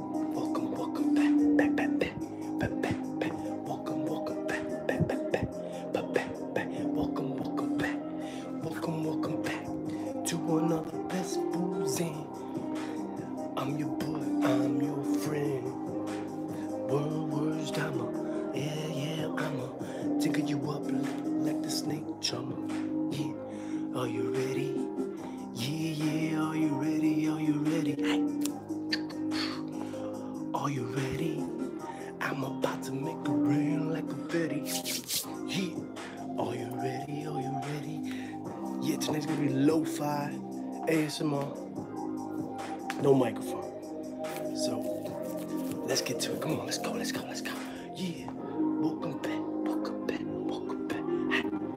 Welcome, welcome back, back, back, back, back, back, Welcome, welcome back, back, back, back, back, back, Welcome, welcome back, welcome, welcome back to another best boozing. I'm your boy, I'm your friend. Word, words, drama. Yeah, yeah, I'ma tickle you up like, like the snake drama. Yeah, are you ready? Yeah, yeah, are you ready? Are you ready? Are you ready? I'm about to make a rain like a Betty. Yeah, are you ready? Are you ready? Yeah, tonight's gonna be lo fi ASMR. No microphone. So let's get to it. Come on, let's go, let's go, let's go. Yeah, welcome back, welcome back, welcome back.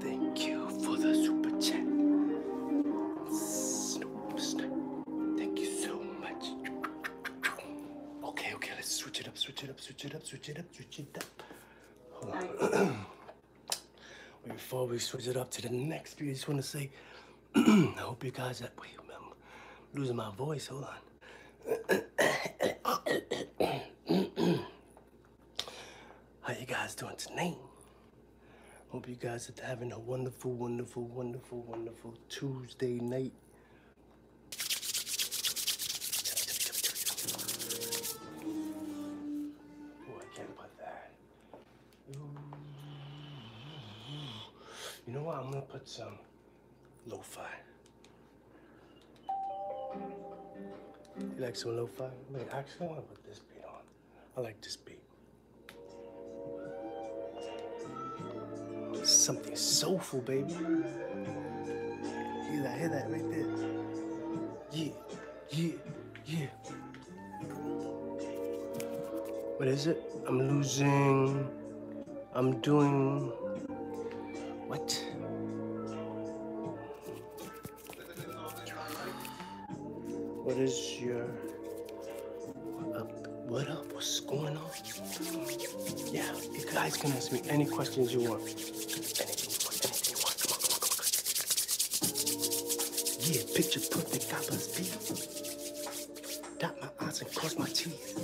Thank you for the super chat. Thank you so much. Okay, okay, let's switch it up, switch it up, switch it up, switch it up, switch it up. Before we switch it up to the next few, I just want to say, I hope you guys that way. I'm losing my voice. Hold on. How you guys doing tonight? Hope you guys are having a wonderful, wonderful, wonderful, wonderful Tuesday night. Oh, I can't put that. You know what? I'm gonna put some lo-fi. You like some low fi Wait, actually, I want to put this beat on. I like this beat. Something soulful, baby. You like hear that right there? Yeah, yeah, yeah. What is it? I'm losing. I'm doing. What? What is your uh, What up? What's going on? Yeah, you guys can ask me any questions you want. Anything you want, Yeah, picture perfect coppers be. Dot my eyes and cross my teeth.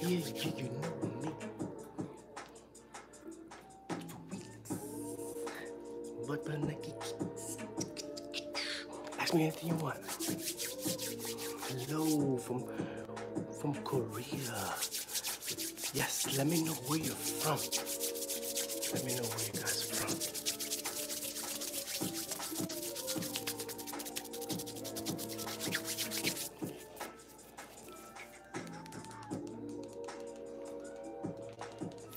Yeah, yeah, you know me. But by Nike. Ask me anything you want. Hello from from Korea. Yes, let me know where you're from. Let me know where you guys are from.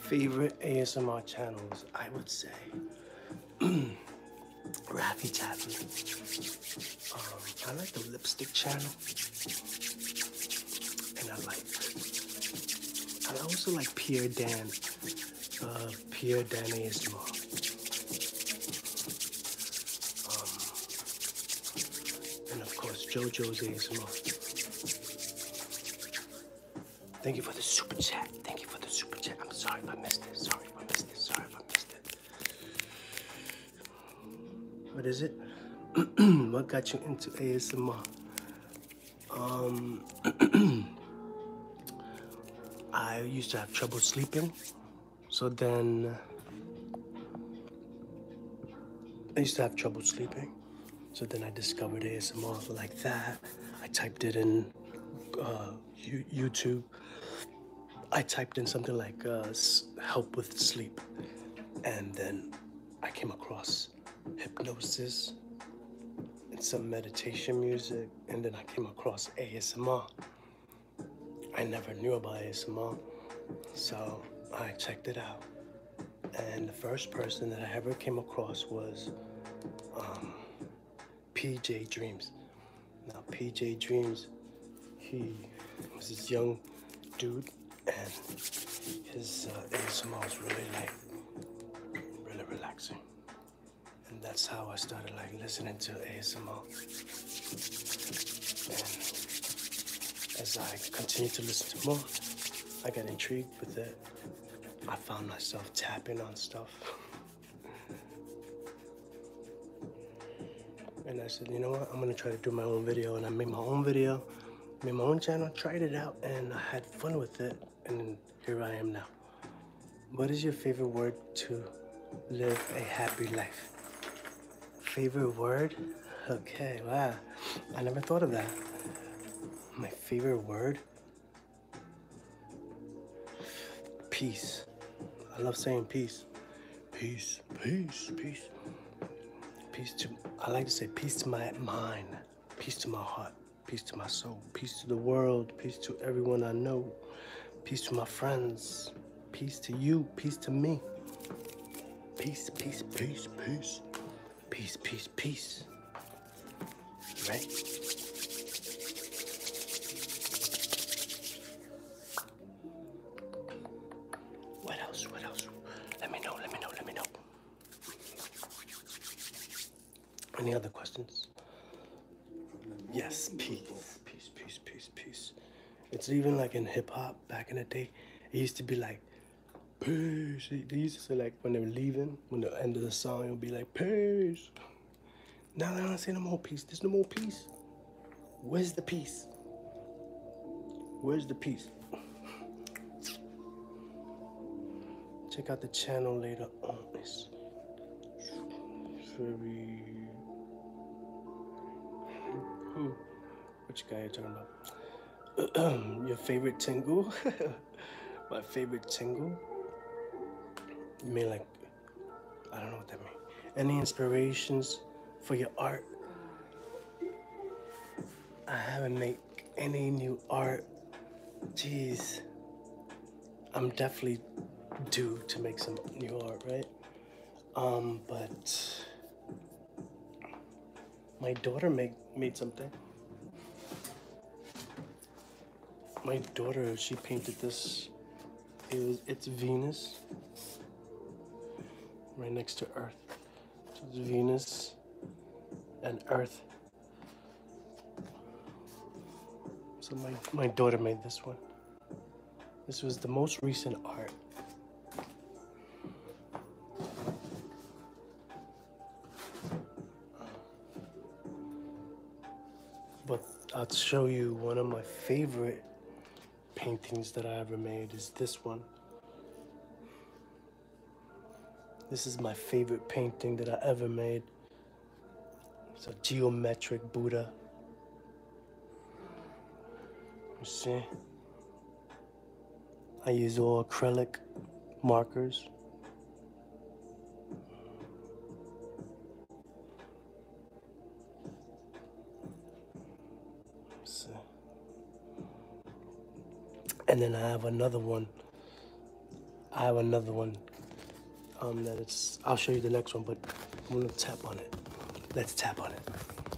Favorite ASMR channels, I would say. Raffy Taffy. Um, I like the lipstick channel. And I like I also like Pierre Dan. Uh, Pierre Dan ASMR. Um, and of course, JoJo's ASMR. Thank you for the super chat. Thank you for the super chat. I'm sorry if I missed it. Sorry if I missed it. Sorry if I missed it. What is it? what got you into ASMR? Um, I used to have trouble sleeping. So then I used to have trouble sleeping. So then I discovered ASMR like that. I typed it in uh, YouTube. I typed in something like uh, help with sleep. And then I came across hypnosis and some meditation music. And then I came across ASMR. I never knew about ASMR, so I checked it out. And the first person that I ever came across was um, PJ Dreams. Now, PJ Dreams, he was this young dude, and his uh, ASMR was really like really relaxing. And that's how I started like listening to ASMR as I continued to listen to more, I got intrigued with it. I found myself tapping on stuff. and I said, you know what? I'm gonna try to do my own video. And I made my own video, made my own channel, tried it out, and I had fun with it. And here I am now. What is your favorite word to live a happy life? Favorite word? Okay, wow. I never thought of that. My favorite word? Peace. I love saying peace. Peace, peace, peace. Peace to, I like to say peace to my mind, peace to my heart, peace to my soul, peace to the world, peace to everyone I know, peace to my friends, Peace to you. Peace to me. Peace, peace, peace, peace. Peace, peace, peace. ready? What else? What else? Let me know. Let me know. Let me know. Any other questions? Yes, peace. Peace, peace, peace, peace. It's even like in hip hop back in the day. It used to be like, peace. They used to say like when they were leaving, when the end of the song, it would be like, peace. Now they don't say no more peace. There's no more peace. Where's the peace? Where's the peace? Check out the channel later on. It's very which guy are you talking about? Your favorite tingle? My favorite tingle? You mean like, I don't know what that means. Any inspirations for your art? I haven't made any new art. Jeez. I'm definitely due to make some new art, right? Um, but my daughter made, made something. My daughter, she painted this. It was, it's Venus. Right next to Earth. It was Venus and Earth. So my, my daughter made this one. This was the most recent art. But I'll show you one of my favorite paintings that I ever made is this one. This is my favorite painting that I ever made. It's a geometric Buddha. You see? I use all acrylic markers. See? And then I have another one. I have another one um, that I'll show you the next one, but I'm gonna tap on it. Let's tap on it.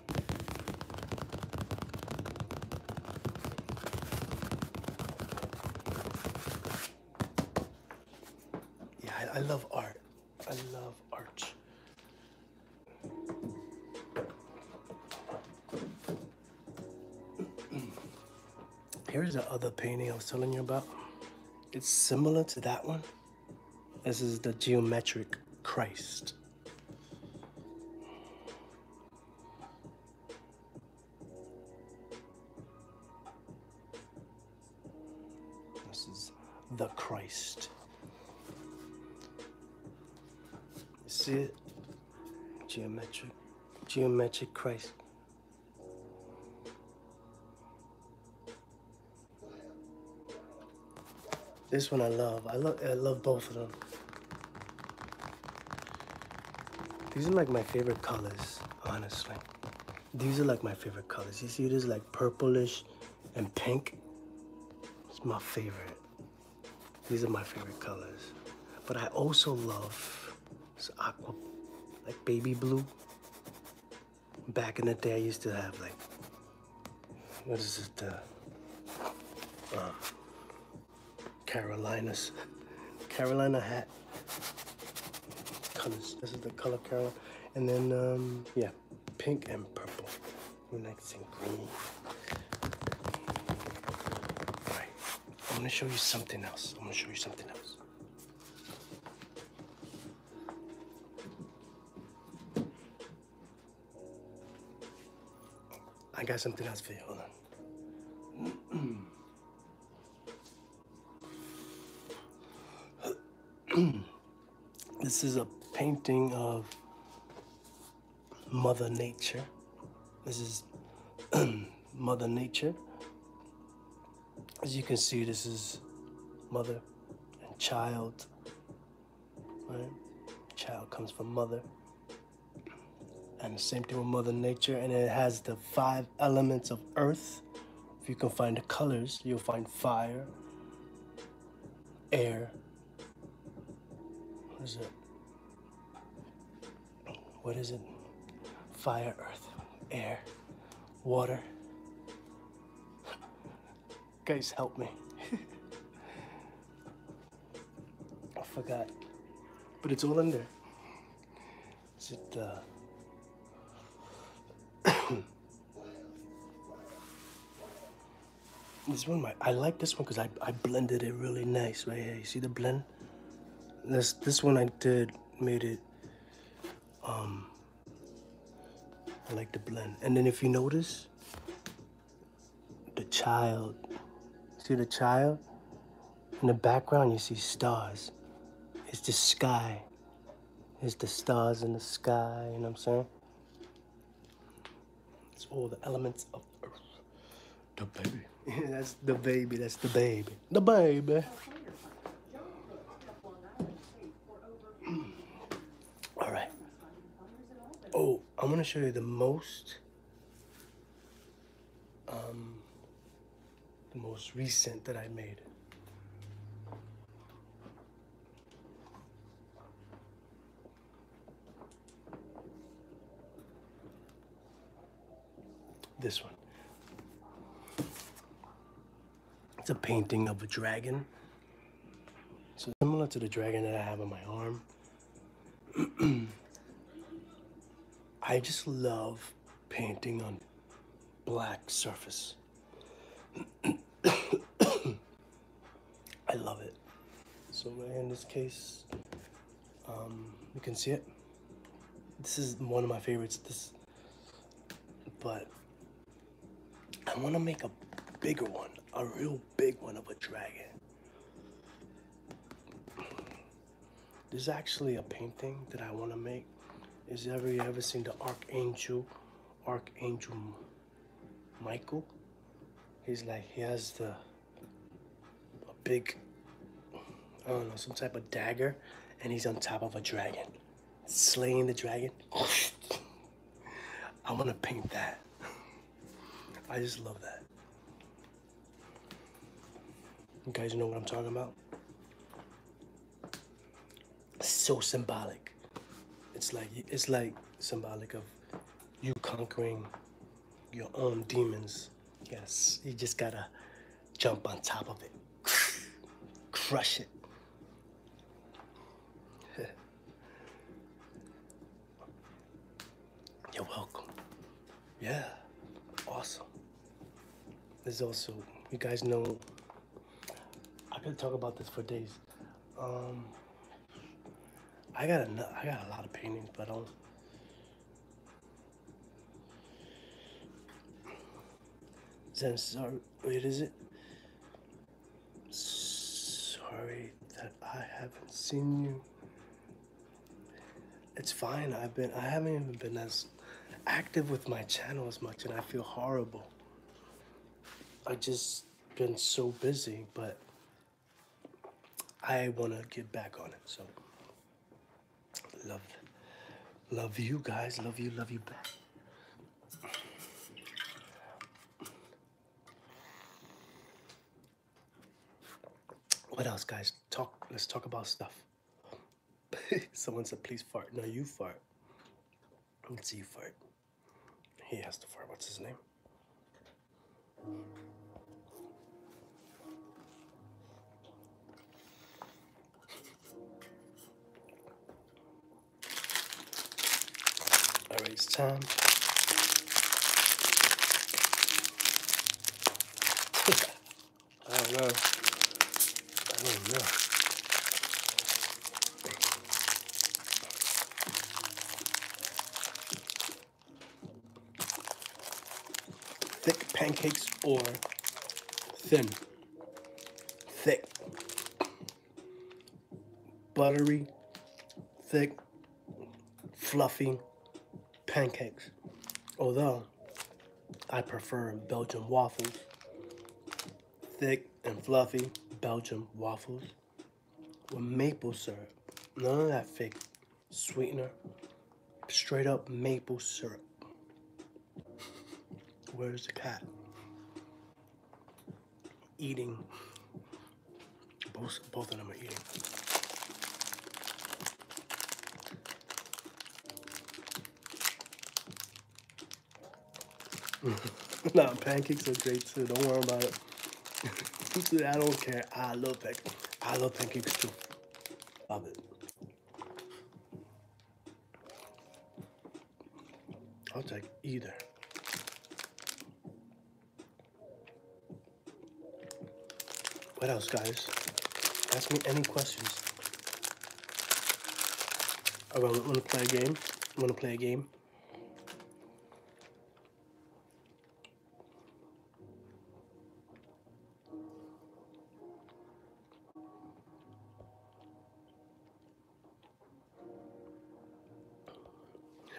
Yeah, I, love art. I love art. Here's the other painting I was telling you about. It's similar to that one. This is the geometric Christ. This is the Christ. see it? Geometric, geometric Christ. This one I love. I love I love both of them. These are like my favorite colors, honestly. These are like my favorite colors. You see this like purplish and pink? It's my favorite. These are my favorite colors. But I also love this aqua, like baby blue. Back in the day, I used to have like what is it? Uh, uh, Carolinas. Carolina hat. Colors. This is the color Carolina. And then, um, yeah, pink and purple. Next in green. All right, I'm gonna show you something else. I'm gonna show you something else. I got something else for you. Hold on. this is a painting of Mother Nature. This is Mother Nature. As you can see, this is mother and child Right? Child comes from mother. And the same thing with Mother Nature, and it has the five elements of earth. If you can find the colors, you'll find fire, air. What is it? What is it? Fire, earth, air, water, Guys, help me. I forgot. But it's all in there. Is it, uh... this one, my, I like this one because I, I blended it really nice right here. You see the blend? This, this one I did made it, um, I like the blend. And then if you notice, the child. See the child? In the background, you see stars. It's the sky. It's the stars in the sky, you know what I'm saying? It's all the elements of Earth. The baby. that's the baby, that's the baby. The baby. all right. Oh, I am going to show you the most, um, the most recent that I made. This one. It's a painting of a dragon. So similar to the dragon that I have on my arm. I just love painting on black surface. I love it. So in this case, um, you can see it. This is one of my favorites. This, but I want to make a bigger one, a real big one of a dragon. There's actually a painting that I want to make. Is ever you ever seen the Archangel, Archangel Michael? He's like he has the a big, I don't know, some type of dagger, and he's on top of a dragon, slaying the dragon. I want to paint that. I just love that. You guys know what I'm talking about? so symbolic. It's like it's like symbolic of you conquering your own demons. Yes, you just gotta jump on top of it. Crush it. You're welcome. Yeah, awesome. There's also, you guys know, I could talk about this for days. Um, I got a, I got a lot of paintings, but I do wait, is it? sorry that I haven't seen you. It's fine. I've been I haven't even been as active with my channel as much and I feel horrible. I just been so busy, but I want to get back on it. So love love you guys. Love you. Love you back. What else, guys? Talk. Let's talk about stuff. Someone said, "Please fart." No, you fart. Let's see you fart. He has to fart. What's his name? It's time. I don't know. I don't know. Thick pancakes or thin? Thick. Buttery, thick, fluffy pancakes, although I prefer Belgian waffles, thick and fluffy Belgian waffles with maple syrup. None of that fake sweetener, straight up maple syrup. Where's the cat? Eating both, both of them are eating. nah, pancakes are great too. Don't worry about it. I don't care. I love pancakes. I love pancakes too. Love it. I'll take either. What else, guys? Ask me any questions. I want to play a game. I want to play a game.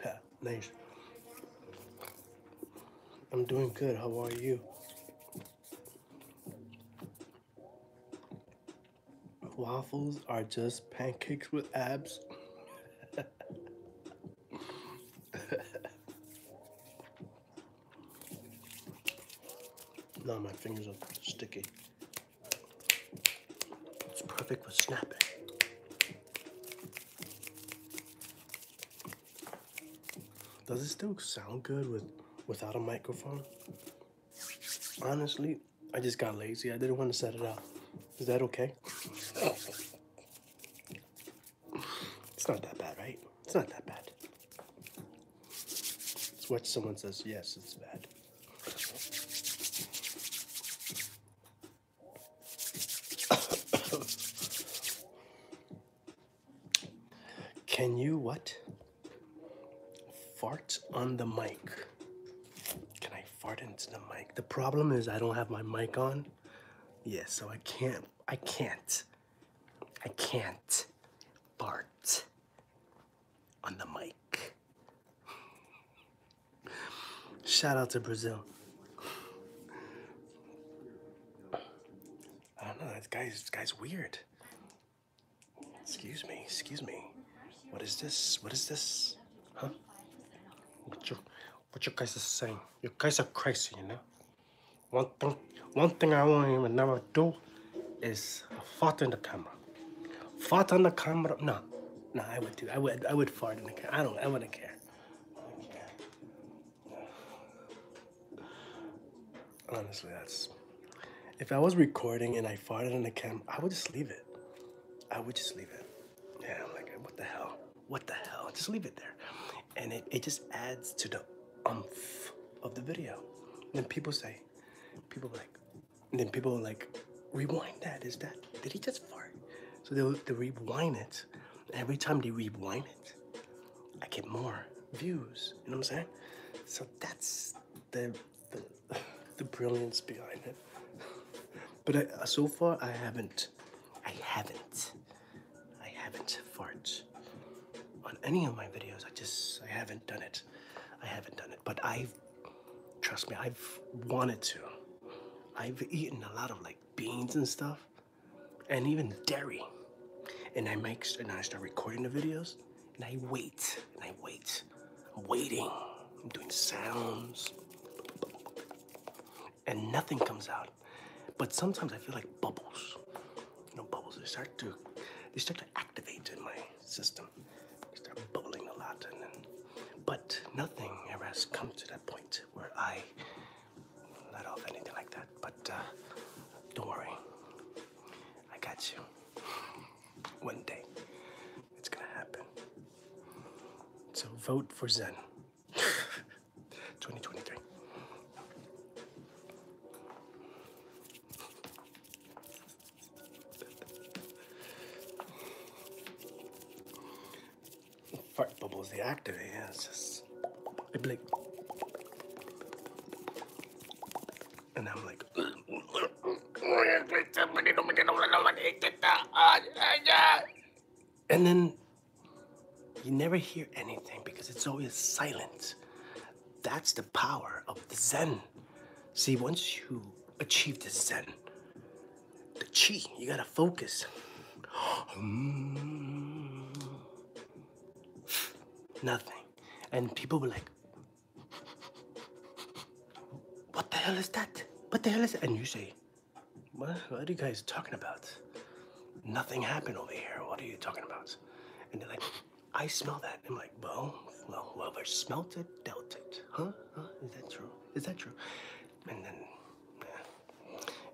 Yeah. Nice. I'm doing good. How are you? Waffles are just pancakes with abs. now my fingers are sticky. It's perfect for snapping. Does it still sound good with without a microphone? Honestly, I just got lazy. I didn't want to set it up. Is that okay? it's not that bad, right? It's not that bad. It's what someone says, yes, it's bad. Can you what? Fart on the mic. Can I fart into the mic? The problem is I don't have my mic on. Yes, so I can't. I can't. I can't fart on the mic. Shout out to Brazil. I don't know. This guy's this guy's weird. Excuse me. Excuse me. What is this? What is this? Huh? What you what you guys are saying? You guys are crazy, you know. One thing one thing I won't even never do is fart in the camera. Fart on the camera? No, no, I would do. I would I would fart in the camera. I don't. I wouldn't care. Honestly, that's. If I was recording and I farted on the cam, I would just leave it. I would just leave it. Yeah, I'm like, what the hell? What the hell? Just leave it there. And it, it just adds to the umph of the video. And then people say, people like, then people like, rewind that. Is that, did he just fart? So they they'll rewind it every time they rewind it, I get more views. You know what I'm saying? So that's the the, the brilliance behind it. But uh, so far, I haven't, I haven't, I haven't farted on any of my videos. I just, I haven't done it. I haven't done it. But I've, trust me, I've wanted to. I've eaten a lot of like beans and stuff and even dairy. And I make and I start recording the videos and I wait and I wait. I'm waiting. I'm doing sounds. And nothing comes out. But sometimes I feel like bubbles. You know, bubbles. They start to they start to activate in my system. They start bubbling a lot and then but nothing ever has come to that point where I not off anything like that, but uh, don't worry. I got you. One day, it's gonna happen. So vote for Zen 2023 fart bubbles they activate. Yeah, it's just I'd like, and I'm like. And then you never hear anything because it's always silent. That's the power of the Zen. See, once you achieve the Zen, the chi. You gotta focus. Nothing. And people were like, what the hell is that? What the hell is that? And you say, what, are you guys talking about? Nothing happened over here. What are you talking about? And they're like, I smell that. I'm like, well, well, whoever smelt it, dealt it. Huh? huh? Is that true? Is that true? And then,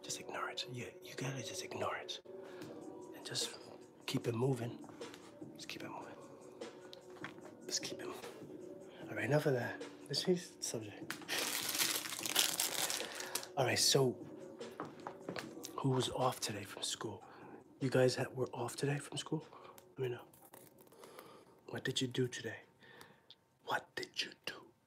just ignore it. Yeah, you gotta just ignore it. And just keep it moving. Just keep it moving. Just keep it moving. All right, enough of that. This is the subject. All right, so who was off today from school? You guys were off today from school? Let me know. What did you do today? What did you do?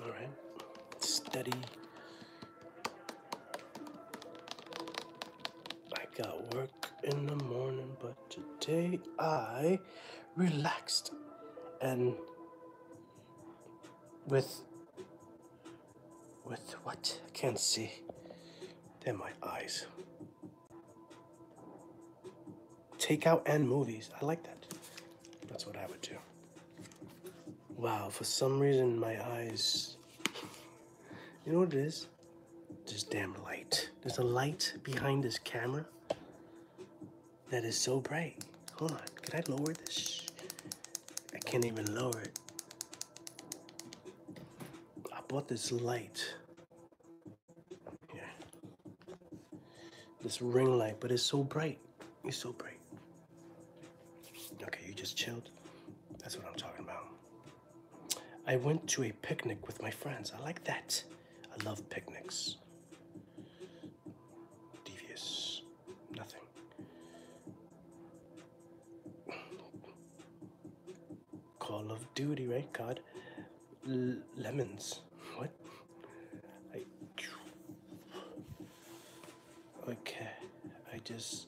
All right, steady. I got work in the morning, but today I relaxed and with with what I can't see. They're my eyes. Takeout and movies. I like that. That's what I would do. Wow, for some reason my eyes. You know what it is? Just damn light. There's a light behind this camera that is so bright. Hold on, can I lower this? I can't even lower it. I bought this light. This ring light, but it's so bright. You're so brave. Okay, you just chilled. That's what I'm talking about. I went to a picnic with my friends. I like that. I love picnics. Devious. Nothing. Call of Duty, right, God? lemons. What? I, okay, I just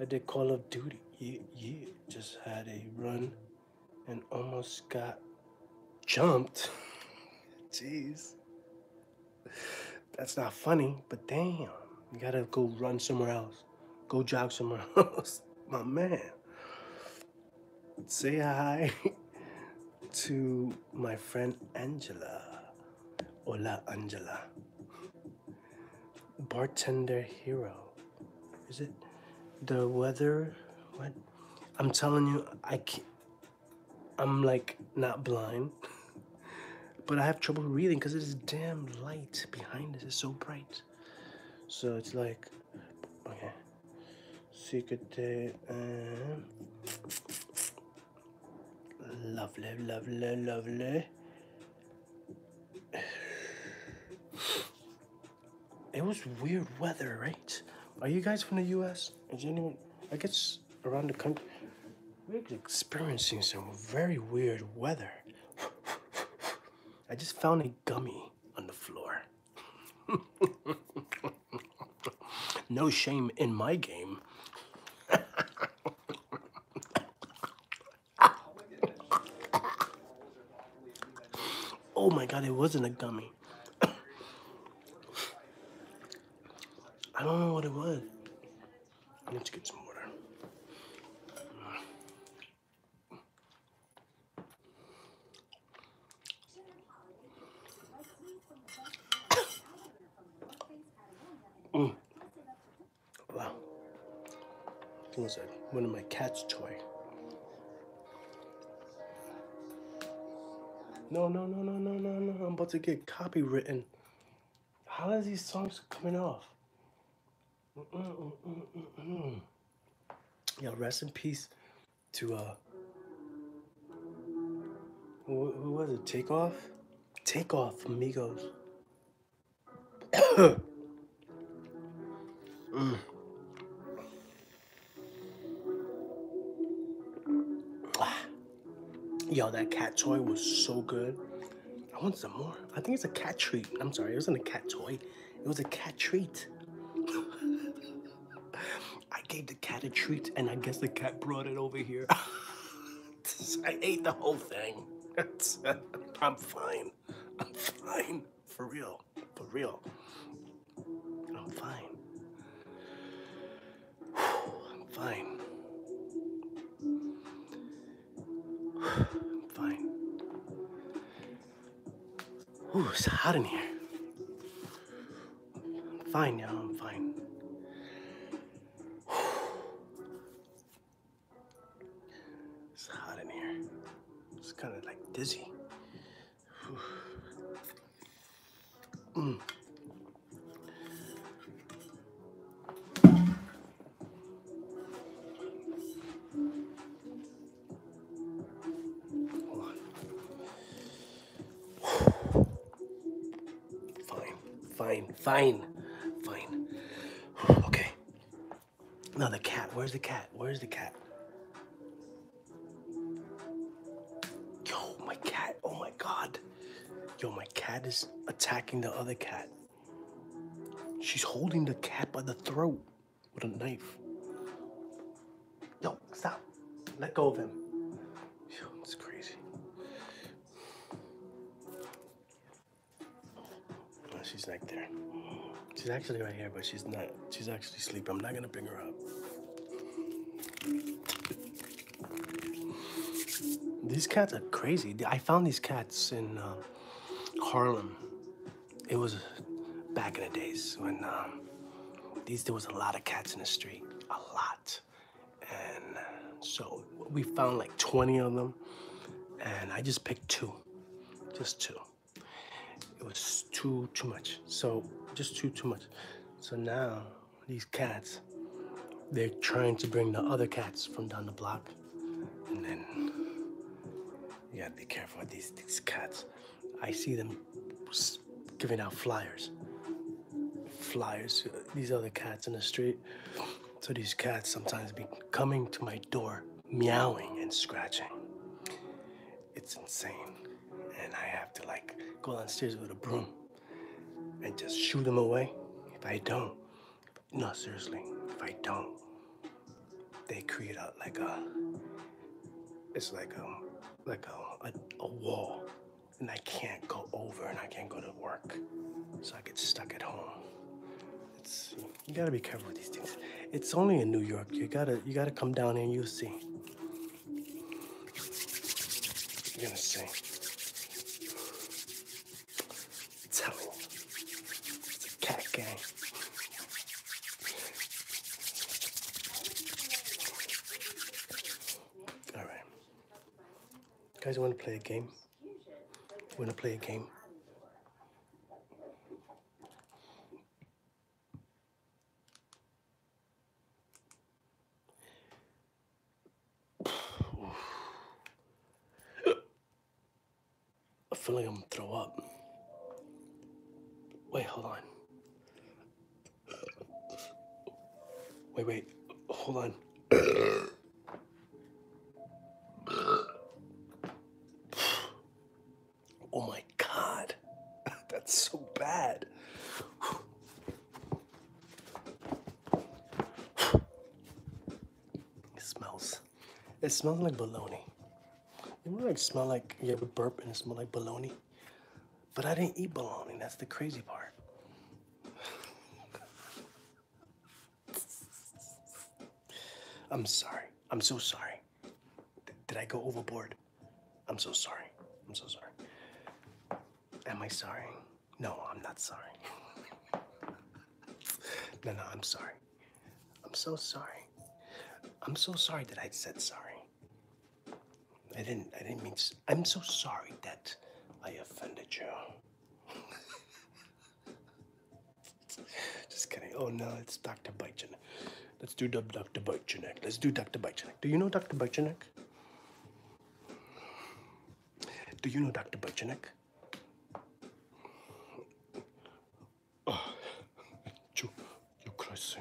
I did Call of Duty. You yeah, just had a run and almost got jumped. Jeez, that's not funny. But damn, you gotta go run somewhere else. Go jog somewhere else, my man. Say hi to my friend Angela. Hola Angela. Bartender hero. Is it the weather? What? I'm telling you, I can't. I'm like not blind, but I have trouble reading because it is damn light behind us. It's so bright. So it's like, okay. Secret uh, Lovely, lovely, lovely. It was weird weather, right? Are you guys from the US? Is anyone, I guess around the country, we're experiencing some very weird weather. I just found a gummy on the floor. no shame in my game. oh my god, it wasn't a gummy. I don't know what it was. Let's get some water. Mm. Wow. It was like uh, one of my cat's toy. No, no, no, no, no, no, no. I'm about to get copywritten. How is these songs coming off? yeah, rest in peace to uh who, was it? Take off, take off, ah. Yo, that cat toy was so good. I want some more. I think it's a cat treat. I'm sorry, it wasn't a cat toy. It was a cat treat. I gave the cat a treat, and I guess the cat brought it over here. I ate the whole thing. I'm fine. I'm fine. For real. For real. I'm fine. I'm fine. I'm fine. Ooh, it's hot in here. I'm fine now. I'm fine. It's hot in here. It's kind of like dizzy. Mm. Fine, fine, fine, fine. Okay. Now the cat, where's the cat? Where's the cat? Yo, my cat, oh my god. Yo, my cat is attacking the other cat. She's holding the cat by the throat with a knife. Yo, stop. Let go of him. Yo, it's crazy she's not there. She's actually right here, but she's not. She's actually sleeping. I'm not gonna bring her up. These cats are crazy. I found these cats in um, Harlem. It was back in the days when um, these there was a lot of cats in the street. A lot. And so we found like 20 of them. And I just picked two, just two. It was too, too much. So just too, too much. So now these cats, they're trying to bring the other cats from down the block. And then you gotta be careful with these, these cats. I see them giving out flyers flyers. These are the cats in the street. So these cats sometimes be coming to my door, meowing and scratching. It's insane. And I have to like go downstairs with a broom and just shoot them away. If I don't, no, seriously, if I don't, they create out like a, it's like a, um, like a, a wall and I can't go over and I can't go to work. So I get stuck at home. you gotta be careful with these things. It's only in New York. You gotta you gotta come down here and you'll see. You're gonna see. I'm It's a cat gang. All right. Guys, I want to play a game. want to play a game. I feel like I'm throw up. Wait, hold on. Wait, wait. Hold on. oh my god. That's so bad. It smells. It smells like bologna. You know, like smell like you have a burp and it smell like bologna. But I didn't eat bologna. That's the crazy part. I'm sorry. I'm so sorry. did I go overboard? I'm so sorry. I'm so sorry. Am I sorry? No, I'm not sorry. no, no, I'm sorry. I'm so sorry. I'm so sorry that I said sorry. I didn't. I didn't mean. I'm so sorry that I offended you. Just kidding. Oh no, it's Dr. Bychenek. Let's do Dr. Bychenek. Let's do Dr. Bychenek. Do you know Dr. Bychenek? Do you know Dr. Bychenek? Oh, you, you crazy.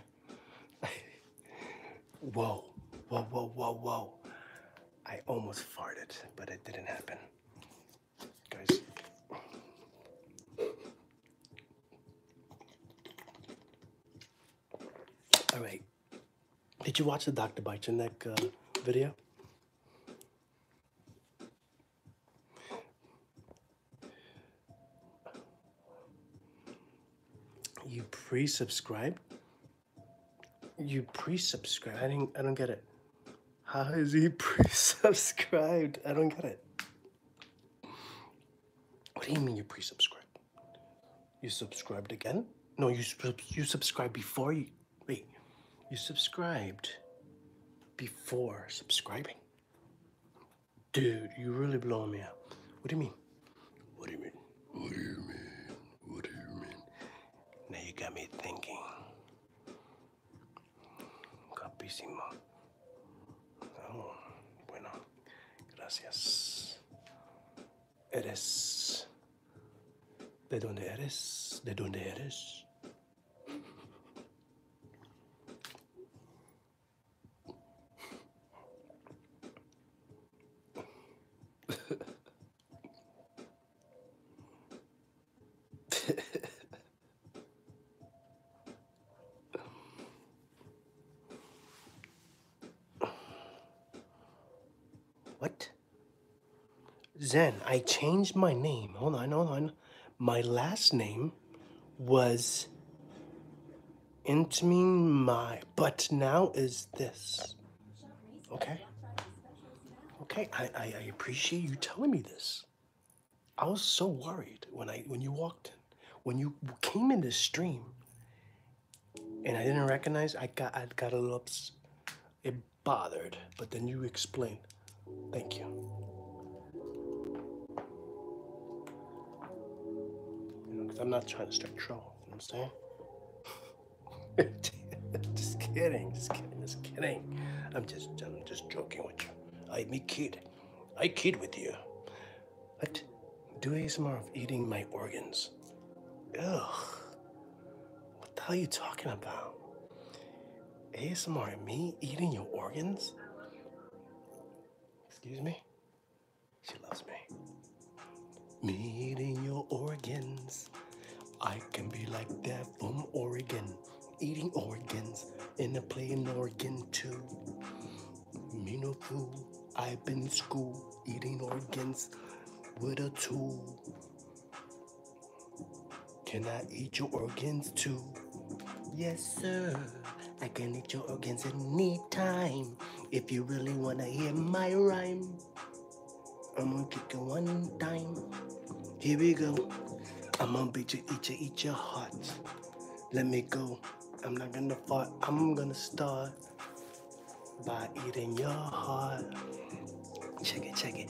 whoa, whoa, whoa, whoa, whoa. I almost farted, but it didn't happen. Guys. All right. Did you watch the Dr. Bychenek uh, video? You pre-subscribed? You pre-subscribe? I, didn't, I don't get it. How is he pre-subscribed? I don't get it. What do you mean you pre subscribed You subscribed again? No, you you subscribed before you wait. You subscribed before subscribing. Dude, you really blowing me out. What do you mean? What do you mean? What do you mean? What do you mean? Now you got me thinking. Capísimo. Oh, bueno. Gracias. Eres. ¿De dónde eres? ¿De dónde eres? what? Zen, I changed my name. Hold on, hold on. My last name was Intamin Mai, but now is this. Okay. Okay, I, I, appreciate you telling me this. I was so worried when I when you walked when you came in this stream, and I didn't recognize. I got I got a little ups, it bothered. But then you explained. Thank you. because I'm not trying to start trouble. You know what I'm saying? just kidding, just kidding, just kidding. I'm just, I'm just joking with you. I me kid, I kid with you. But do ASMR of eating my organs. Ugh. What the hell are you talking about? ASMR, me eating your organs? Excuse me? She loves me meat in your organs. I can be like that from Oregon, eating organs and I a playing organ too. Me no fool, I've been in school eating organs with a tool. Can I eat your organs too? Yes, sir. I can eat your organs anytime if you really wanna hear my rhyme. I'm gonna kick it one time. Here we go. I'm gonna beat you, eat you, eat your heart. Let me go. I'm not gonna fart. I'm gonna start by eating your heart. Check it, check it.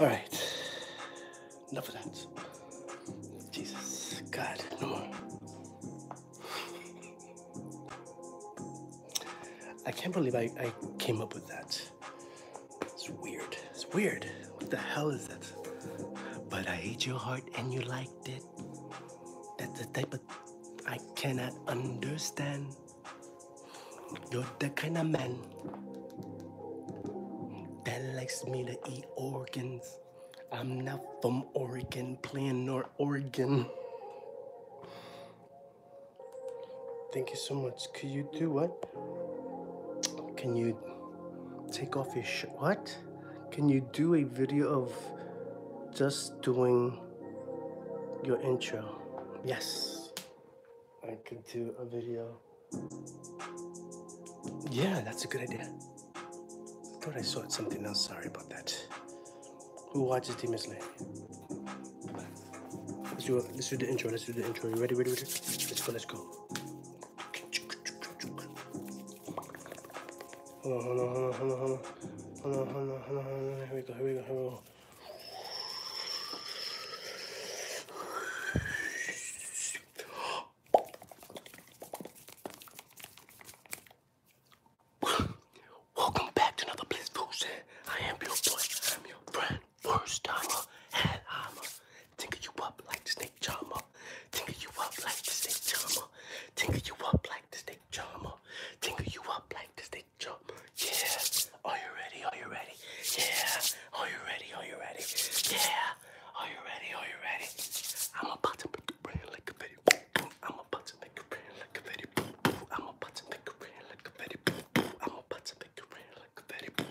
All right. Enough of that. Jesus. God, no more. I can't believe I, came up with that. It's weird. It's weird. What the hell is that? But I ate your heart and you liked it. That's the type of I cannot understand. You're the kind of man that likes me to eat organs. I'm not from Oregon, playing nor Oregon. Thank you so much. Could you do what? Can you take off your shirt? What? Can you do a video of just doing your intro? Yes. I can do a video. Yeah, that's a good idea. I thought I saw something else. Sorry about that. Who watches Demon Slayer? Let's do, a, let's do the intro. Let's do the intro. You ready? Ready? Ready? Let's go. Let's go. hold on, hold on, hold on, hold on, hold on, hold on, hold on, hold on. Here we go. Here we go. Here we go. Welcome back to another Blissful Shed. I am your boy. I'm your friend. First timer. Headheimer. Tinker you up like snake charmer. Tinker you up like snake charmer. Tinker you up like snake charmer. Tinker you up like snake right, jump. Yeah. Are you ready? Are you ready? Yeah. Are you ready? Are you ready? Yeah. Are you ready? Are you ready? I'm about to make a brain like a baby. I'm about to make a brain like a baby. I'm about to make a brain like a baby. I'm about to make a brain like a baby.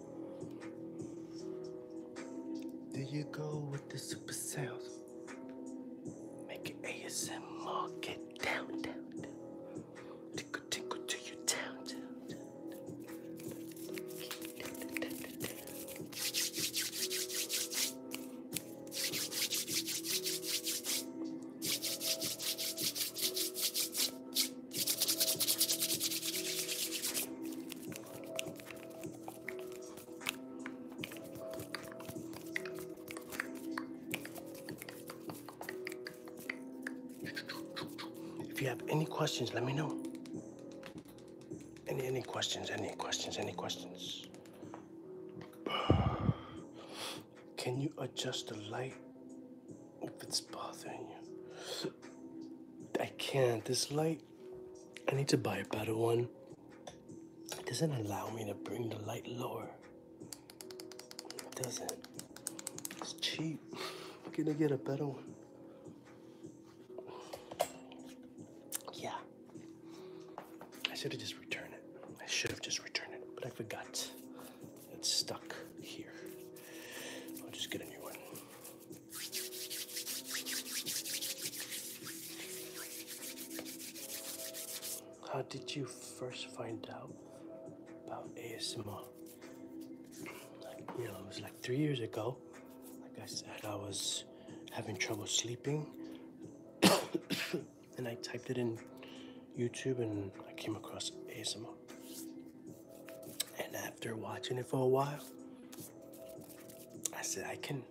Do you go with the super sales, Make it ASMR. Get down, down, down. Tickle, tickle to your down, down, down. If you have any questions, let me know. Any, any questions, any questions, any questions. Can you adjust the light if it's bothering you? I can't. This light I need to buy a better one. It doesn't allow me to bring the light lower. It doesn't. It's cheap. Gonna get a better one? Yeah. I should have just returned it. I should have just returned it, but I forgot. It's stuck here. I'll just get a new one. How did you first find out about ASMR? you know, it was like three years ago. Like I said, I was having trouble sleeping. and I typed it in YouTube and I came across ASMR. And after watching it for a while, I said I can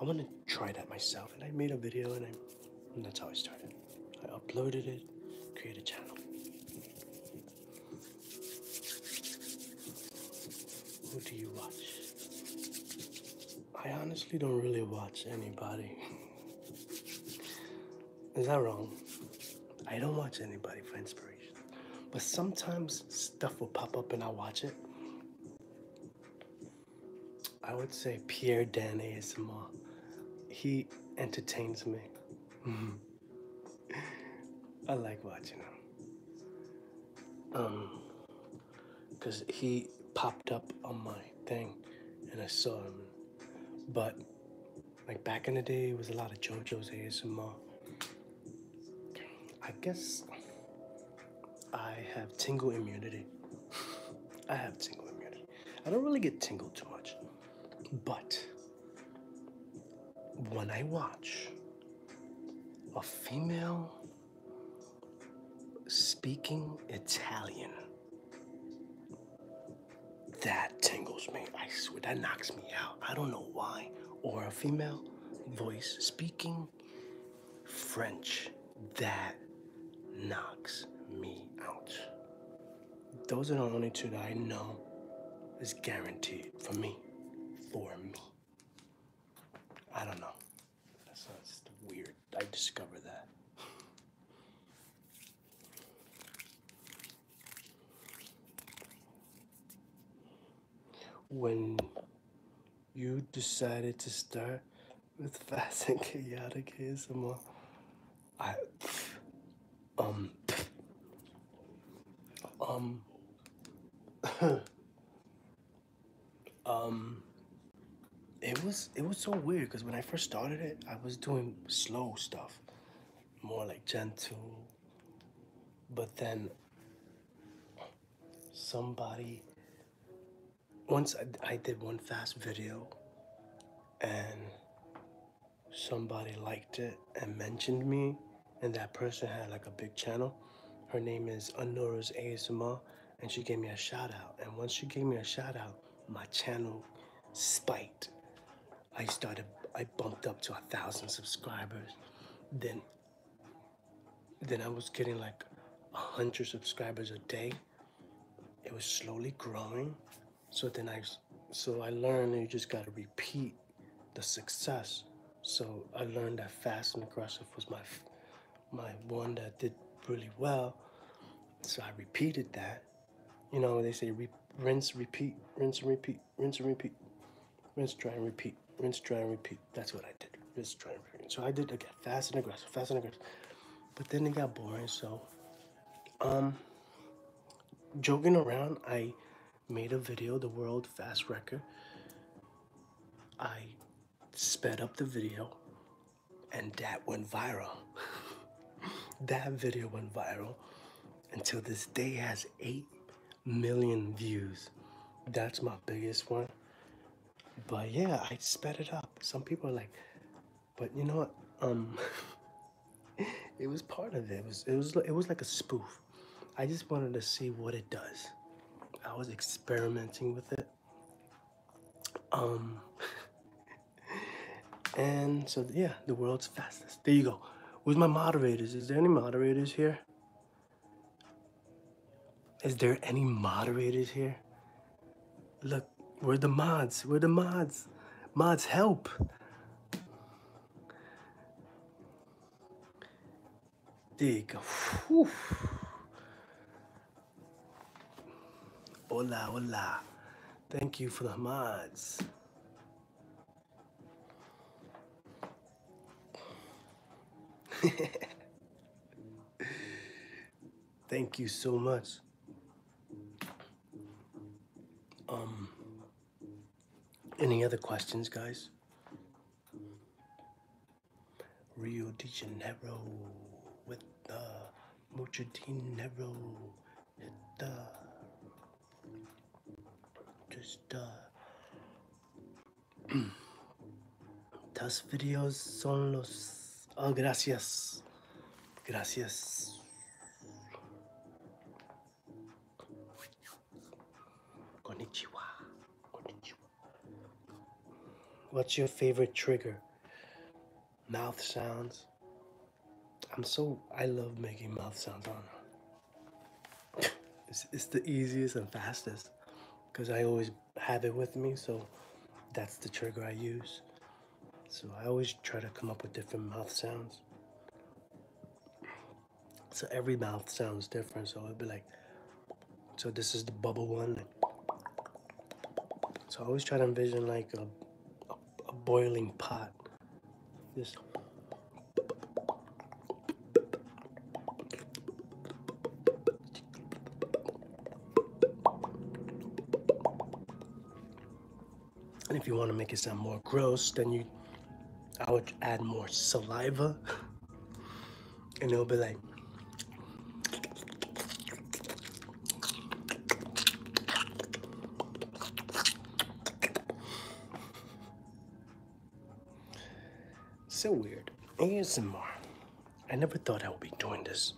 I want to try that myself and I made a video and I that's how I started. I uploaded it, created a channel. Who do you watch? I honestly don't really watch anybody. Is that wrong? I don't watch anybody for inspiration. But sometimes stuff will pop up and I'll watch it. I would say Pierre Dan ASMR. He entertains me. I like watching him. Um, cause he popped up on my thing, and I saw him. But like back in the day, it was a lot of JoJo's ASMR. I guess I have tingle immunity. I have tingle immunity. I don't really get tingle too much, but when I watch a female speaking Italian, that tingles me. I swear, that knocks me out. I don't know why. Or a female voice speaking French. That knocks me out. Those are the only two that I know is guaranteed for me. For me. I don't know. That's sounds weird. I discovered that when you decided to start with fast and chaotic ASMR. I um um um it was it was so weird because when I first started it I was doing slow stuff more like gentle but then somebody once I, did one fast video and somebody liked it and mentioned me and that person had like a big channel her name is Anora's ASMR and she gave me a shout out and once she gave me a shout out my channel spiked I started I bumped up to a thousand subscribers then then I was getting like 100 subscribers a day. It was slowly growing. So then I, so I learned you just gotta repeat the success. So I learned that fast and aggressive was my, my one that did really well. So I repeated that. You know, they say rinse, repeat, rinse and repeat, rinse and repeat rinse, dry, and repeat. Rinse, dry, and repeat. That's what I did. Rinse, dry, and repeat. So I did again, fast and aggressive, fast and aggressive. But then it got boring, so um, joking around, I made a video, the world fast record. I sped up the video, and that went viral. that video went viral. Until this day has eight million views. That's my biggest one. But yeah, I sped it up. Some people are like, but you know what? Um, it was part of it. It was it was it was like a spoof. I just wanted to see what it does. I was experimenting with it. Um, and so yeah, the world's fastest. There you go. Who's my moderators? Is there any moderators here? Is there any moderators here? Look, we're the mods. We're the mods. Mods, help. There you go. Hola, hola. Thank you for the mods. Thank you so much. Um, any other questions, guys? Rio de Janeiro with the uh, Mucho Dinero. Hit the, uh, just uh, those videos son los... Oh, gracias. Gracias. Konnichiwa. Konnichiwa. What's your favorite trigger? Mouth sounds. I'm so... I love making mouth sounds on it's, the easiest and fastest because I always have it with me so that's the trigger I use so I always try to come up with different mouth sounds so every mouth sounds different so it'd be like so this is the bubble one so I always try to envision like a, a, a boiling pot this and if you want to make it sound more gross, then you, I would add more saliva. And it'll be like, so weird. Here's some more. I never thought I would be doing this.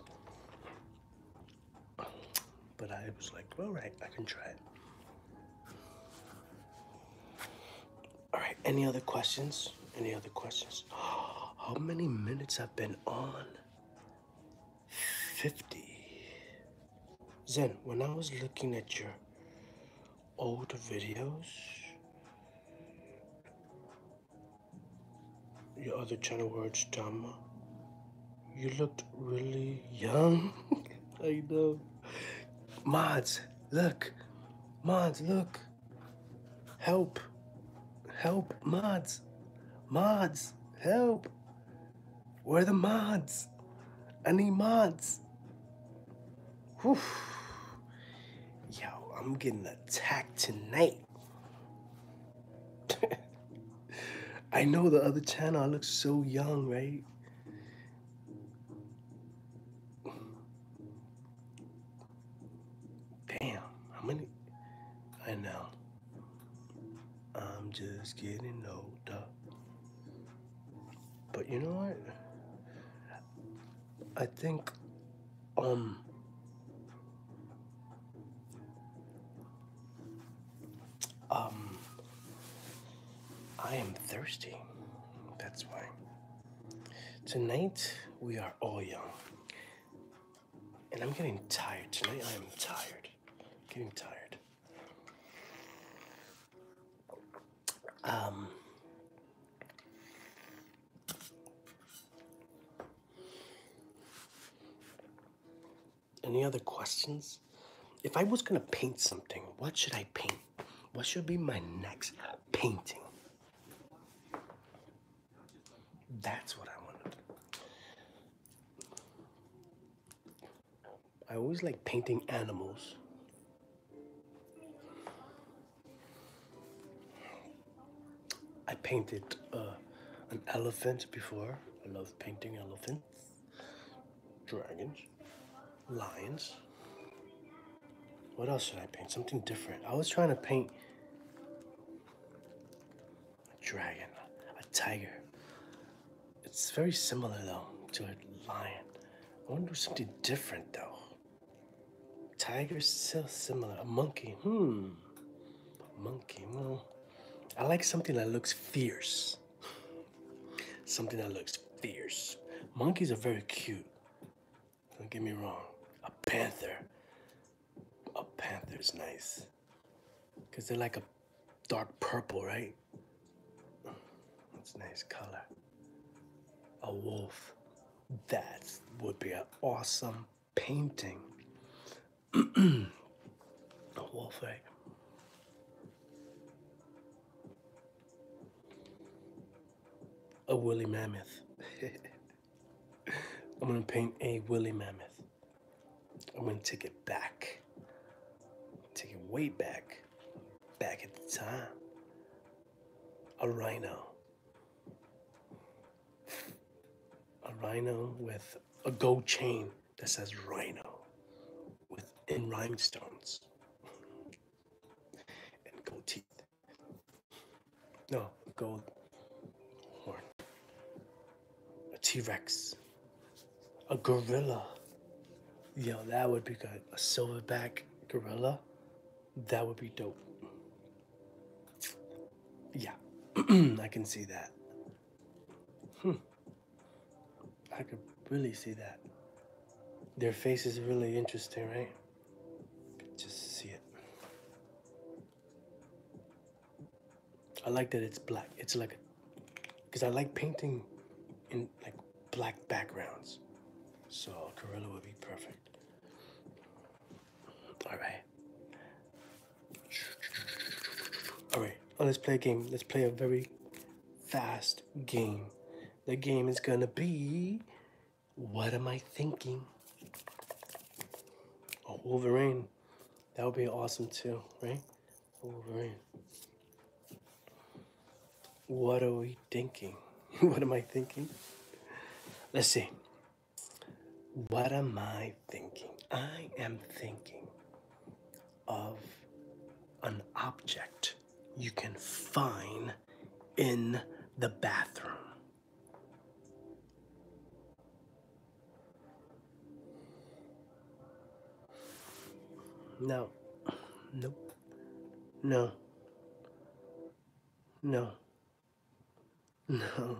But I was like, alright, I can try Alright, any other questions? Any other questions? How many minutes have been on? 50. Zen, when I was looking at your old videos? Your other channel words dumb. You looked really young. I know. Mods, look. Mods, look. Help. Help, mods. Mods, help. Where are the mods? I need mods. Whew. Yo, I'm getting attacked tonight. I know the other channel, looks so young, right? Damn, how many? I know. I'm just getting older. But you know what? I think, um, um, I am thirsty. That's why. Tonight we are all young. And I'm getting tired. Tonight I am tired. getting tired. Um, any other questions? If I was gonna paint something, what should I paint? What should be my next painting? That's what I want to do. I always like painting animals. I painted uh, an elephant before. I love painting elephants, dragons, lions. What else should I paint? Something different. I was trying to paint a dragon, a tiger. It's very similar though to a lion. I want to do something different though. Tiger, so similar. A monkey. Hmm. Monkey. Well, I like something that looks fierce. Something that looks fierce. Monkeys are very cute. Don't get me wrong. A panther. A panther's nice. Because they're like a dark purple, right? That's nice color. A wolf. That would be an awesome painting. the whole A woolly mammoth. I'm gonna paint a woolly mammoth. I'm gonna take it back. Take it way back. Back at the time. A rhino a rhino with a gold chain that says rhino within in rhinestones and gold teeth. No, gold horn. A T Rex. A gorilla. Yo, that would be good. A silverback gorilla that would be dope. Yeah, I can see that. Hmm. I could really see that. Their face is really interesting, right? Just see it. I like that it's black. It's like, because I like painting in like black backgrounds. So Gorilla would be perfect. Alright. Alright, oh, let's play a game. Let's play a very fast game. The game is gonna be What Am I Thinking? Oh, Wolverine. That would be awesome too, right? Wolverine. What are we thinking? what am I thinking? Let's see. What am I thinking? I am thinking of an object you can find in the bathroom. No, nope, no, no. No.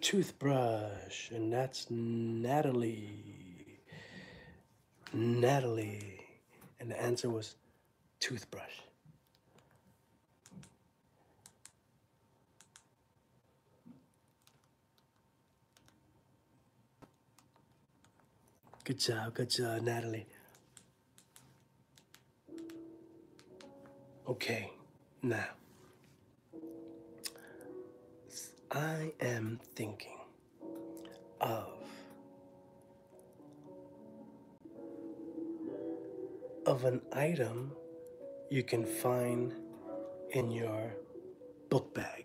Toothbrush, and that's Natalie. Natalie. And the answer was toothbrush. Good job, good job, Natalie. Okay, now. I am thinking of of an item you can find in your book bag.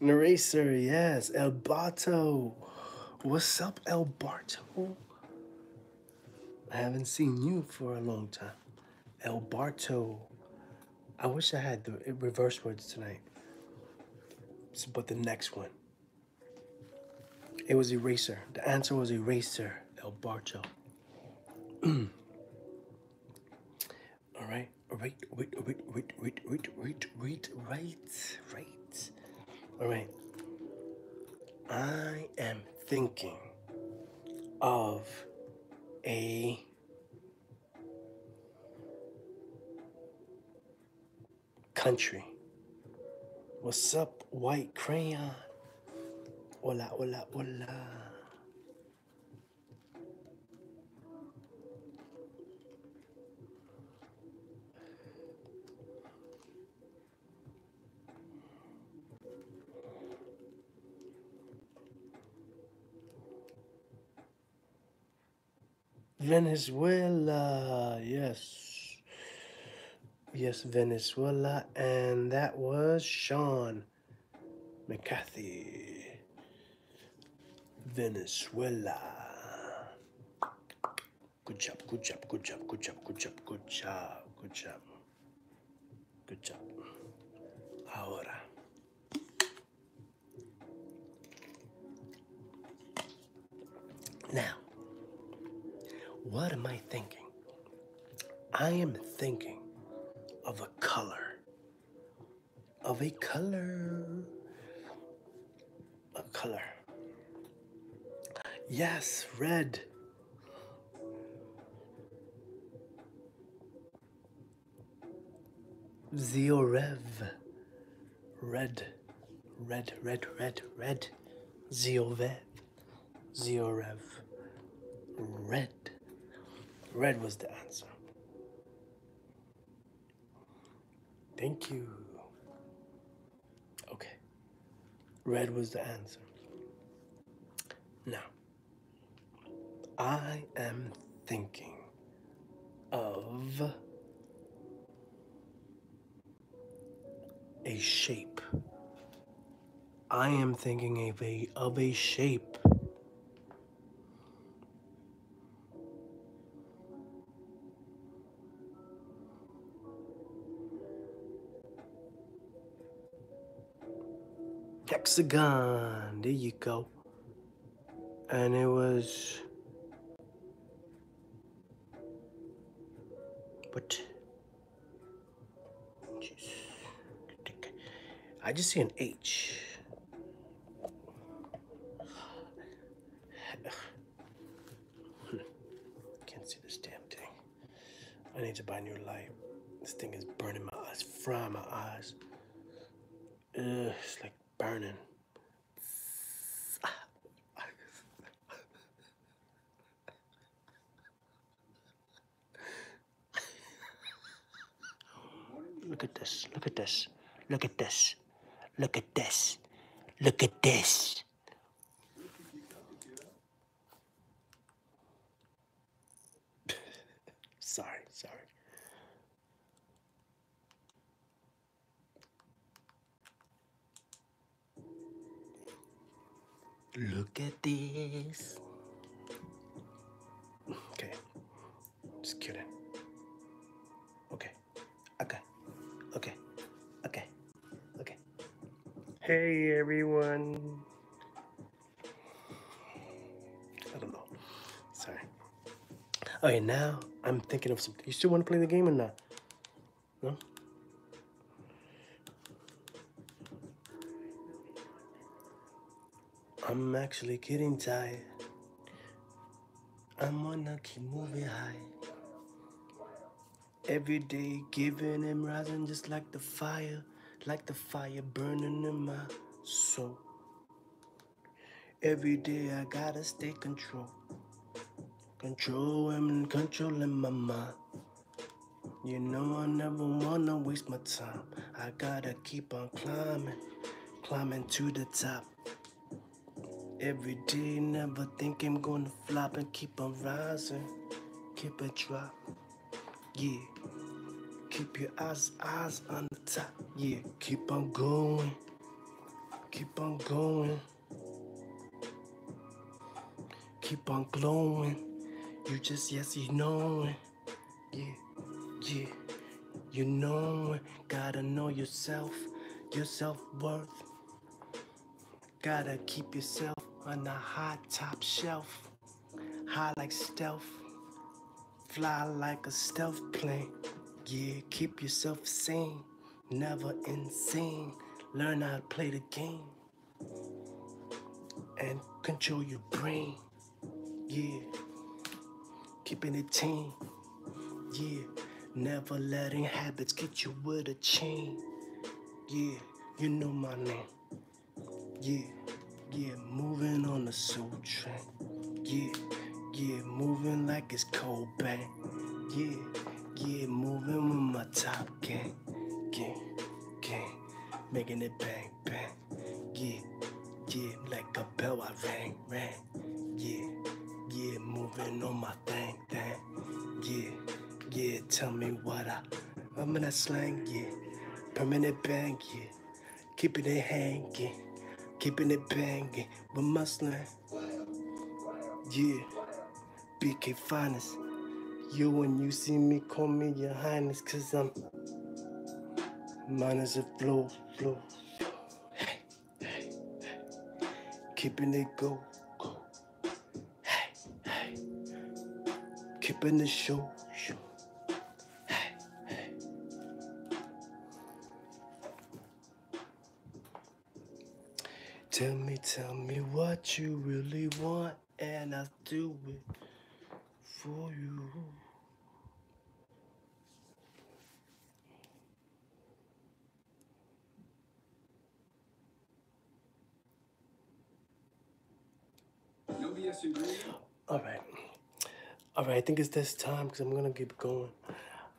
Eraser, yes. El Barto. What's up, El Barto? I haven't seen you for a long time. El Barto. I wish I had the reverse words tonight. but the next one. It was eraser. The answer was eraser. El Barto. All right. Wait, wait, wait, wait, wait, wait, wait, wait, wait, All right. I am thinking of a country. What's up, white crayon? Hola, hola, hola. Venezuela, yes. Yes, Venezuela, and that was Sean McCarthy. Venezuela. Good job, good job, good job, good job, good job, good job, good job. Good job. Now, what am I thinking? I am thinking of a color of a color. A color. Yes, red. Zeorev. Red, red, red, red, red. Zeovev. Zeorev. Red. Red was the answer. Thank you. Okay. Red was the answer. Now, I am thinking of a shape. I am thinking of a, of a shape hexagon. There you go. And it was. But. Jeez. I just see an H. Hmm. Can't see this damn thing. I need to buy new light. This thing is burning my eyes, frying my eyes. it's like burning. Look at this, look at this, look at this. Look at this. Look at this. sorry, sorry. Look at this. Okay. Just kidding. Okay. Okay. Okay. Okay. Okay. Hey everyone. I don't know. Sorry. Okay, now I'm thinking of something. You still want to play the game or not? No? I'm actually getting tired. I'm gonna keep moving high. Every day giving and rising just like the fire, like the fire burning in my soul. Every day I gotta stay control. Control and controlling my mind. You know I never wanna waste my time. I gotta keep on climbing, climbing to the top. Every day, never think I'm gonna flop and keep on rising, keep it drop. Yeah, keep your eyes, eyes on the top. Yeah, keep on going, keep on going, keep on glowing. You just, yes, you know it. Yeah, yeah, you know it. Gotta know yourself, yourself worth Gotta keep yourself on the high top shelf High like stealth Fly like a stealth plane Yeah, keep yourself sane Never insane Learn how to play the game and control your brain. Yeah keeping it team. Yeah, never letting habits get you with a chain. Yeah, you know my name. Yeah, yeah, moving on the soul train. Yeah, yeah, moving like it's cold bang. Yeah, yeah, moving with my top gang. Gang, gang, making it bang, bang. Yeah, yeah, like a bell I rang, rang thing. Yeah, yeah, moving on my thing, thing. Yeah, yeah, tell me what I. I'm Remember that slang, yeah. Permanent bang, yeah. Keeping it hanging, keeping it banging with my slang. Yeah, BK finest. You when you see me, call me your highness, cause I'm minus a flow, flow. Hey hey, keeping it go, go. Hey, keeping the show, show. hey. Tell me, tell me what you really want, and I'll do it for you. All right. All right, I think it's this time because I'm going to keep going.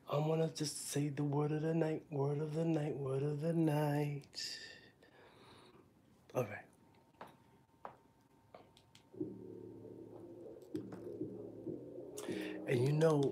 I'm going to just say the word of the night, word of the night, word of the night. All right. And you know,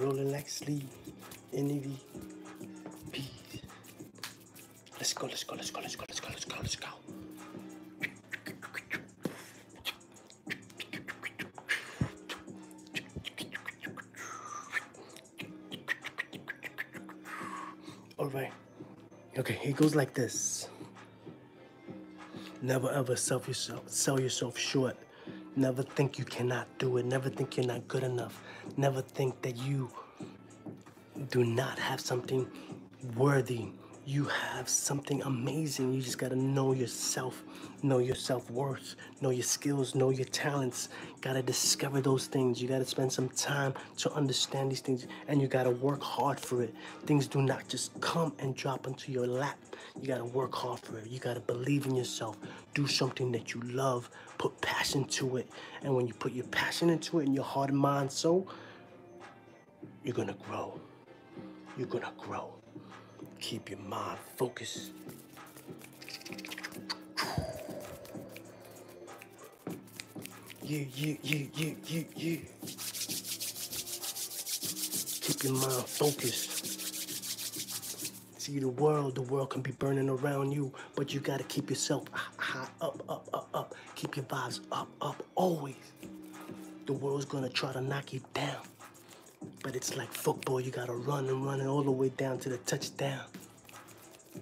rolling like sleep. envy, Peace. Let's go, let's go, let's go, let's go, let's go, let's go, let's go. All right. Okay, it goes like this. Never ever sell yourself, sell yourself short. Never think you cannot do it. Never think you're not good enough. Never think that you do not have something worthy. You have something amazing. You just gotta know yourself, know your self worth, know your skills, know your talents. Gotta discover those things. You gotta spend some time to understand these things and you gotta work hard for it. Things do not just come and drop into your lap. You gotta work hard for it. You gotta believe in yourself. Do something that you love. Put passion to it. And when you put your passion into it and your heart and mind so, you're gonna grow. You're gonna grow. Keep your mind focused. You, you, you, you, you, you. Keep your mind focused. See the world, the world can be burning around you, but you gotta keep yourself high up, up, up, up. Keep your vibes up, up, always. The world's gonna try to knock you down. But it's like football, you gotta run and run it all the way down to the touchdown.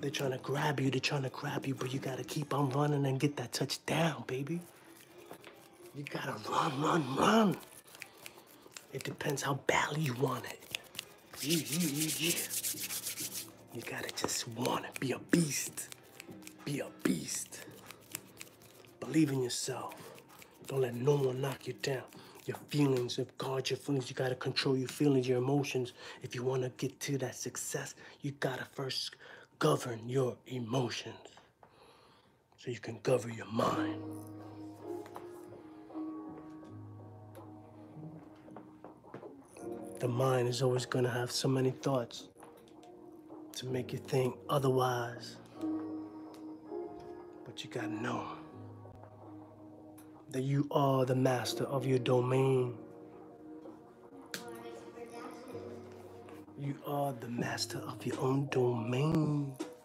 They're trying to grab you, they're trying to grab you, but you gotta keep on running and get that touchdown, baby. You gotta run, run, run. It depends how badly you want it. You, gotta just want to Be a beast. Be a beast. Believe in yourself. Don't let no one knock you down. Your feelings, guard your feelings. You gotta control your feelings, your emotions. If you wanna get to that success, you gotta first govern your emotions so you can cover your mind. The mind is always going to have so many thoughts to make you think otherwise. But you got to know that you are the master of your domain. You are the master of your own domain.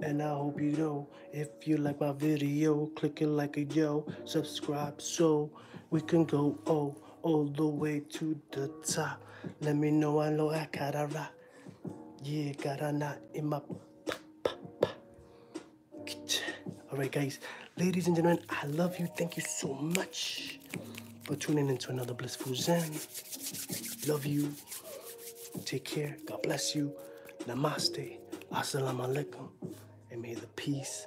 and I hope you know. If you like my video, click it like a yo, subscribe so we can go oh all the way to the top. Let me know I know I gotta rock. Yeah, got a knot in my Alright guys, ladies and gentlemen, I love you. Thank you so much for tuning into another Blissful Zen. Love you. Take care. God bless you. Namaste. Assalamu alaikum. And may the peace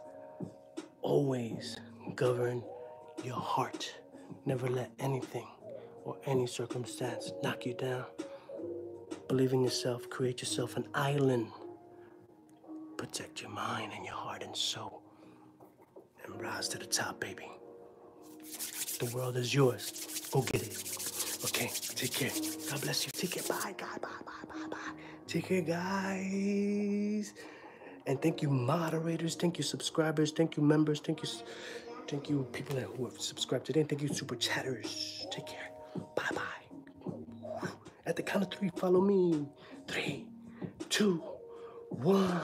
always govern your heart. Never let anything or any circumstance knock you down. Believe in yourself. Create yourself an island. Protect your mind and your heart and soul. And rise to the top, baby. The world is yours. Go get it. Okay, take care. God bless you. Take care. Bye, God. Bye, bye, bye, bye. Take care, guys. And thank you, moderators. Thank you, subscribers. Thank you, members. Thank you, thank you, people that who have subscribed today. thank you, super chatters. Take care. Bye, bye. At the count of three, follow me. Three, two, one.